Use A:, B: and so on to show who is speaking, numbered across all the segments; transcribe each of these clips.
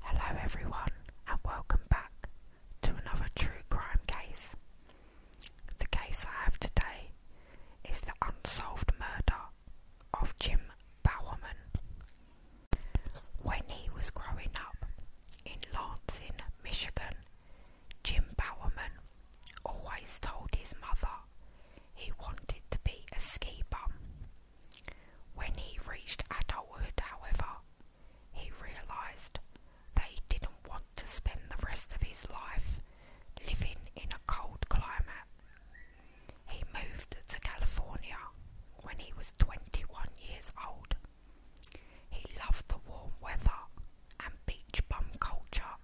A: Hello everyone and welcome back to another true crime case. The case I have today is the unsolved murder of Jim Bowerman. When he was growing up in Lansing, Michigan, Jim Bowerman always told his mother he wanted to be a ski when he reached adulthood, however, he realized that he didn't want to spend the rest of his life living in a cold climate. He moved to California when he was 21 years old. He loved the warm weather and beach bum culture,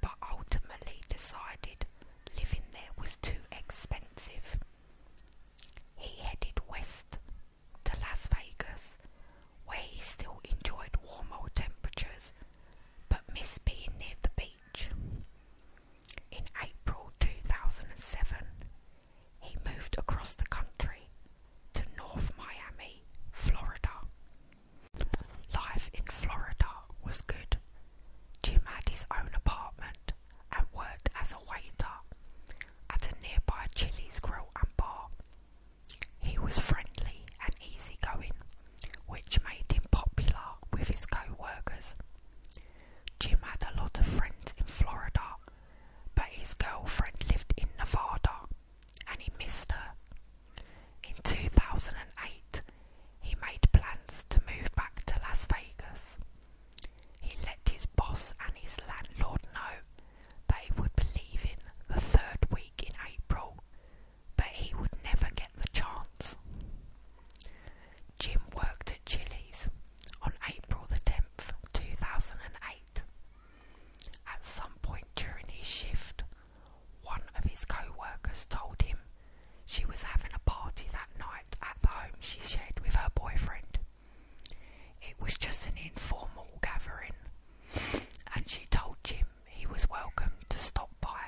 A: but ultimately decided living there was too expensive. He headed west to Las Vegas, where he still enjoyed warmer temperatures but missed being near the beach. In April 2007, he moved across the country to North Miami, Florida. Life in Florida was good. Jim had his own apartment and worked as a waiter at a nearby Chili's grill and bar. He was friendly and easygoing, which made him popular with his coworkers. Jim had a lot of friends in Florida, but his girlfriend lived in Nevada and he missed her. In 2008, he made plans to move back to Las Vegas. He let his boss and his landlord know that he would be leaving the third week in April, but he would never get the chance. Jim worked at Chili's on April the 10th, 2008. At some point during his shift, one of his coworkers told him she was having a party that night at the home she shared with her boyfriend. It was just an informal gathering, and she told Jim he was welcome to stop by.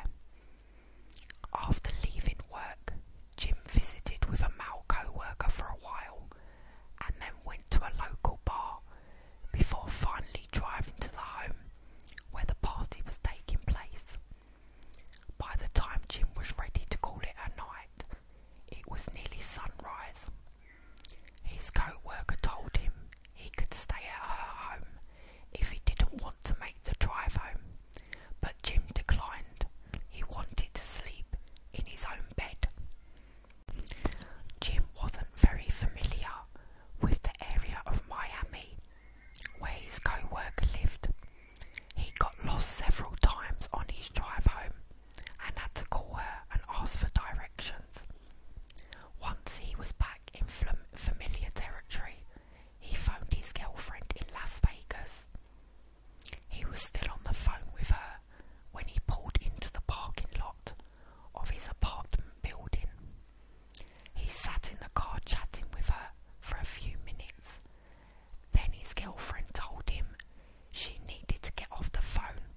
A: After leaving work, Jim visited with a male coworker for a while and then went to a local bar before finally driving to the home where the party was taking place. By the time Jim was ready to call it a night, it was nearly sunrise. His coworker told him he could stay at her home if he didn't want to make the drive home, but Jim declined. He wanted to sleep in his own bed. Jim wasn't very familiar with the area of Miami where his coworker lived, he got lost several times on his drive home and had to call her and ask for directions. Once he was back in familiar territory, he phoned his girlfriend in Las Vegas. He was still on the phone with her when he pulled into the parking lot of his apartment building. He sat in the car chatting with her for a few minutes then his girlfriend told him she needed to get off the phone,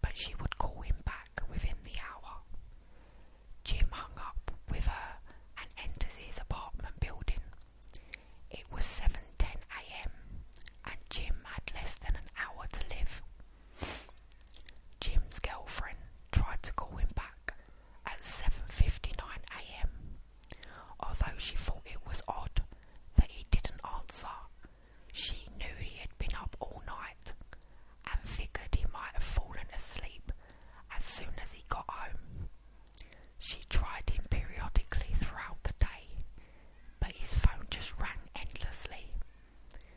A: but she would call him back within the hour. Jim hung up with her and enters his apartment building. It was 7:10 a.m. and Jim had less than an hour to live. Jim's girlfriend tried to call him back at 7:59 a.m. Although she thought it was odd that he didn't answer, she knew he had been up all night and figured he might have fallen asleep as soon as he got home. She tried him periodically throughout the day, but his phone just rang endlessly.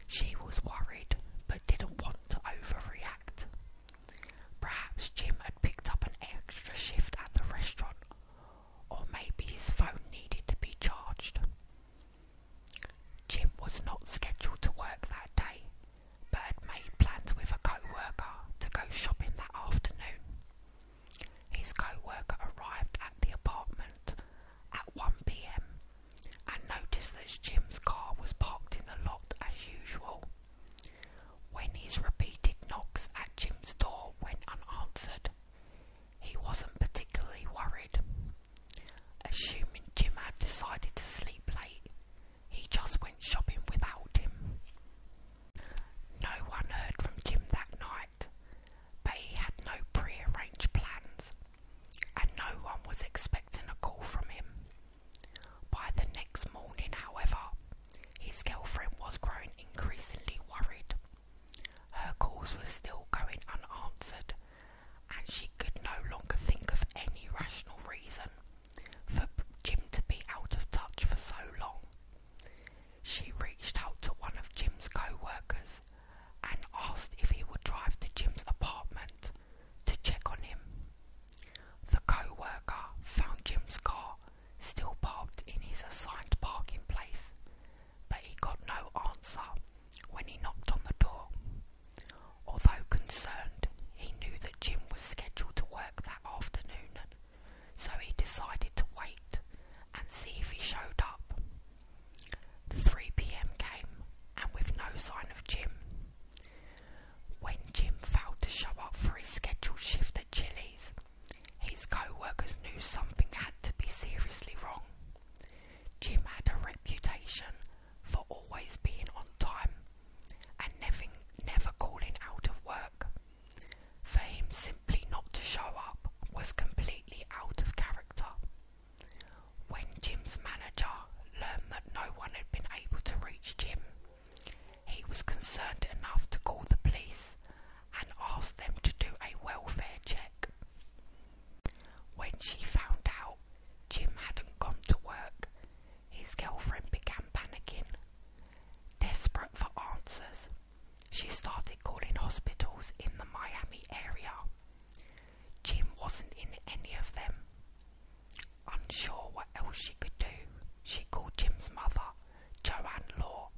A: She was worried but didn't want to overreact. Perhaps Jim had picked up an extra shift at the restaurant or maybe his phone needed to be charged. Jim was not scheduled to work that day, but had made plans with a coworker to go shopping that afternoon. His coworker arrived at the apartment at 1 pm and noticed that Jim's car was parked in the lot as usual. When his repeated knocks at Jim's door went unanswered, he wasn't particularly worried. Assuming Jim had decided to sleep late, he just went shopping without him. No one heard from Jim that night, but he had no prearranged plans, and no one was expecting a call from him. By the next morning, however, his girlfriend was growing increasingly worried. Her calls were still going unanswered, and she could no longer think of any rational reason for Jim to be out of touch for so long. She reached out to one of Jim's coworkers and asked if he would drive to Jim's apartment to check on him. The coworker found Jim's car still parked in his assigned parking place, but he got no answer when he knocked on the door. Although concerned, he knew that Jim was scheduled to work that afternoon, so he decided to wait and see if he showed up. 3 pm came, and with no sign of Jim. When Jim failed to show up for his scheduled shift at Chili's, his co-workers knew something had to be seriously wrong. Jim had a reputation for always being on time and never, never calling out of work. For him simply not to show up was completely out of character. When Jim's manager learned that no one had been able to reach Jim, he was concerned enough to call the police and ask them to do a welfare check. When she found out Jim hadn't gone to work, his girlfriend began panicking. Desperate for answers, she started calling hospitals in the Miami area. Jim wasn't in any of them. Unsure what else she could do, she called Jim's mother Joanne Law.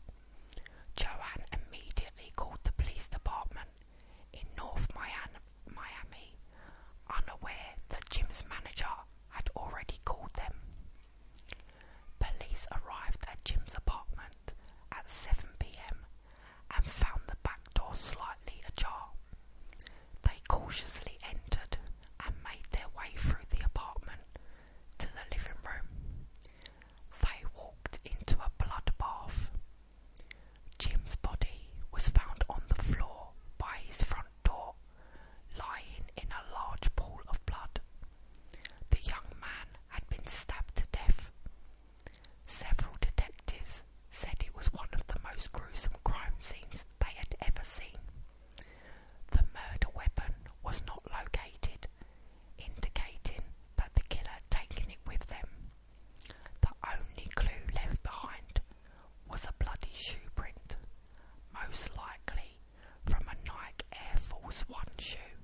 A: Joanne immediately called the police department in North Miami, unaware that Jim's manager had already called them. Police arrived at Jim's apartment at 7 pm and found the back door slightly ajar. They cautiously entered and made their way through the apartment to the living room. They walked into a bloodbath. Jim's body was found on the floor by his front door, lying in a large pool of blood. The young man had been stabbed to death. Several detectives said it was one of the most gruesome crime scenes they had ever seen. The murder weapon was not located, indicating that the killer had taken it with them. The only clue left behind was a bloody shoe print, most likely from a Nike Air Force One shoe.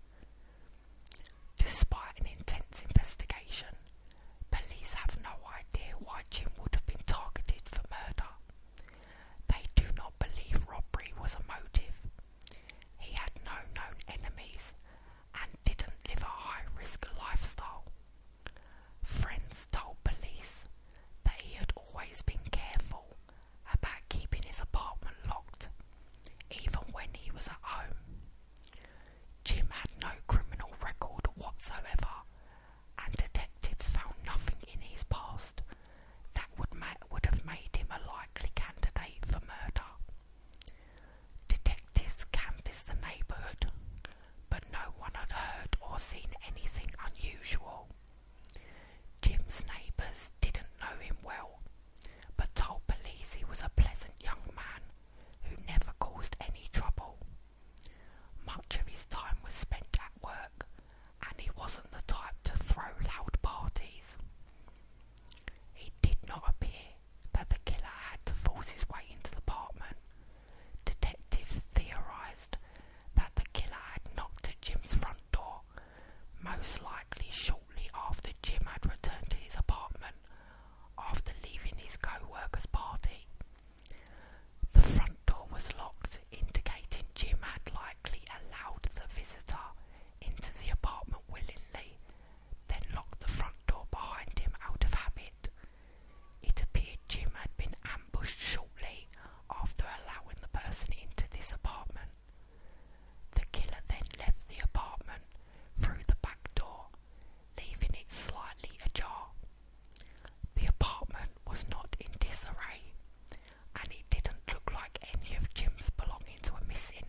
A: Despite an intense investigation, police have no idea why Jim would have been targeted for murder. They do not believe robbery was a motive. He had no known enemies and didn't live a high risk lifestyle. Friends told police that he had always been careful about keeping his apartment locked, even when he was at home. Jim had no criminal record whatsoever, and detectives found nothing in his past that would, have made him a likely candidate for murder. Detectives canvassed the neighbourhood, but no one had heard or seen anything unusual. Jim's neighbours didn't know him well, but told police he was a pleasant young man who never caused any trouble. Much of his time was spent at work and he wasn't the type to throw loud parties. It did not appear that the killer had to force his way into the apartment. Detectives theorized that the killer had knocked at Jim's front door, most likely shortly after Jim had returned to his apartment after leaving his co worker's party. The front door was locked, indicating Jim had, like allowed the visitor into the apartment willingly, then locked the front door behind him out of habit. It appeared Jim had been ambushed shortly after allowing the person into this apartment. The killer then left the apartment through the back door, leaving it slightly ajar. The apartment was not in disarray and it didn't look like any of Jim's belongings were missing,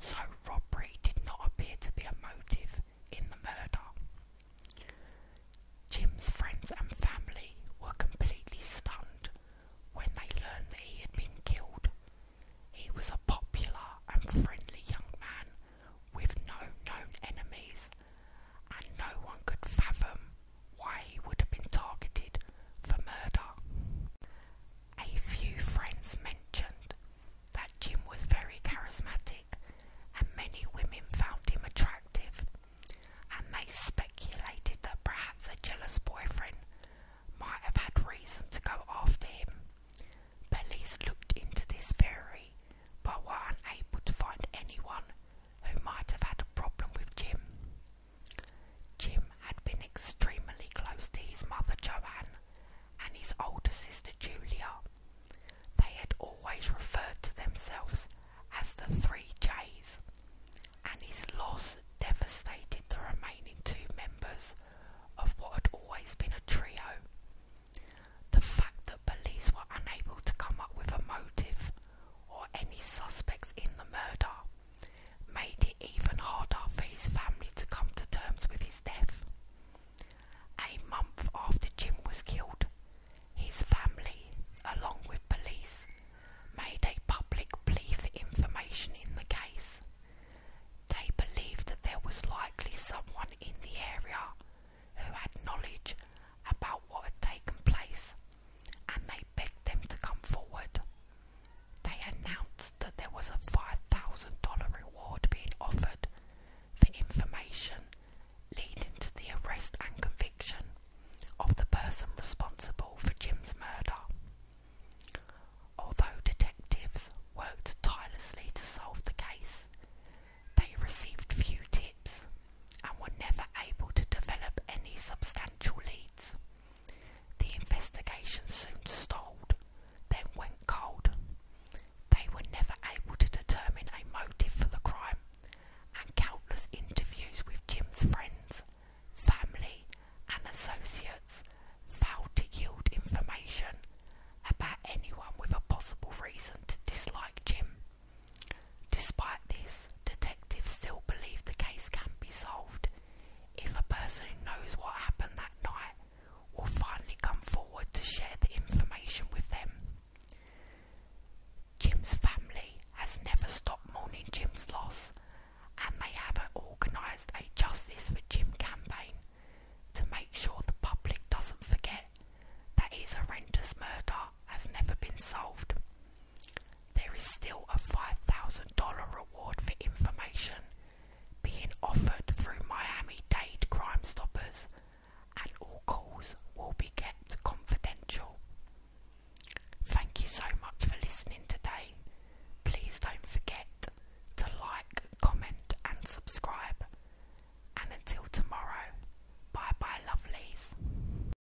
A: so robbery did not appear to be a motive in the murder. Jim's friends and family were completely stunned when they learned that he had been killed. He was a popular and friendly young man with no known enemies, and no one could fathom why he would have been targeted for murder. A few friends mentioned that Jim was very charismatic and many women found him attractive, and they speculated that perhaps a jealous boyfriend might have had reason to go after him. Police looked into this theory but were unable to find anyone who might have had a problem with Jim. Jim had been extremely close to his mother Joanne and his older sister Julia. They had always referred to themselves as the Three J's, and his loss devastated the remaining two members of what had always been a trio. The fact that police were unable to come up with a motive or any suspects in the murder made it even harder for his family to come to terms with his death. A month after Jim was killed, his family, along with police, made a public plea for information in the case. They believed that there was likely someone in the area who had knowledge about what had taken place and they begged them to come forward. They announced that there was a $5,000 reward being offered for information leading to the arrest and conviction of the person responsible for Jim's murder. Although detectives worked tirelessly to solve the case, they received few tips and were never able to develop any substantial leads. The investigation soon stalled, then went cold. They were never able to determine a motive for the crime, and countless interviews with Jim's friends, family, and associates failed to yield information about anyone with a possible reason to dislike Jim. Despite this, detectives still believe the case can be solved if a person who knows what happened that night will finally come forward to share the information with them. Jim's family has never stopped mourning Jim's loss, and they have organised a Justice for Jim campaign to make sure the public doesn't forget that he's a horrendous murder has never been solved. There is still a $5,000 reward for information being offered through Miami Dade Crime Stoppers, and all calls will be kept confidential. Thank you so much for listening today. Please don't forget to like, comment, and subscribe. And until tomorrow, bye bye, lovelies.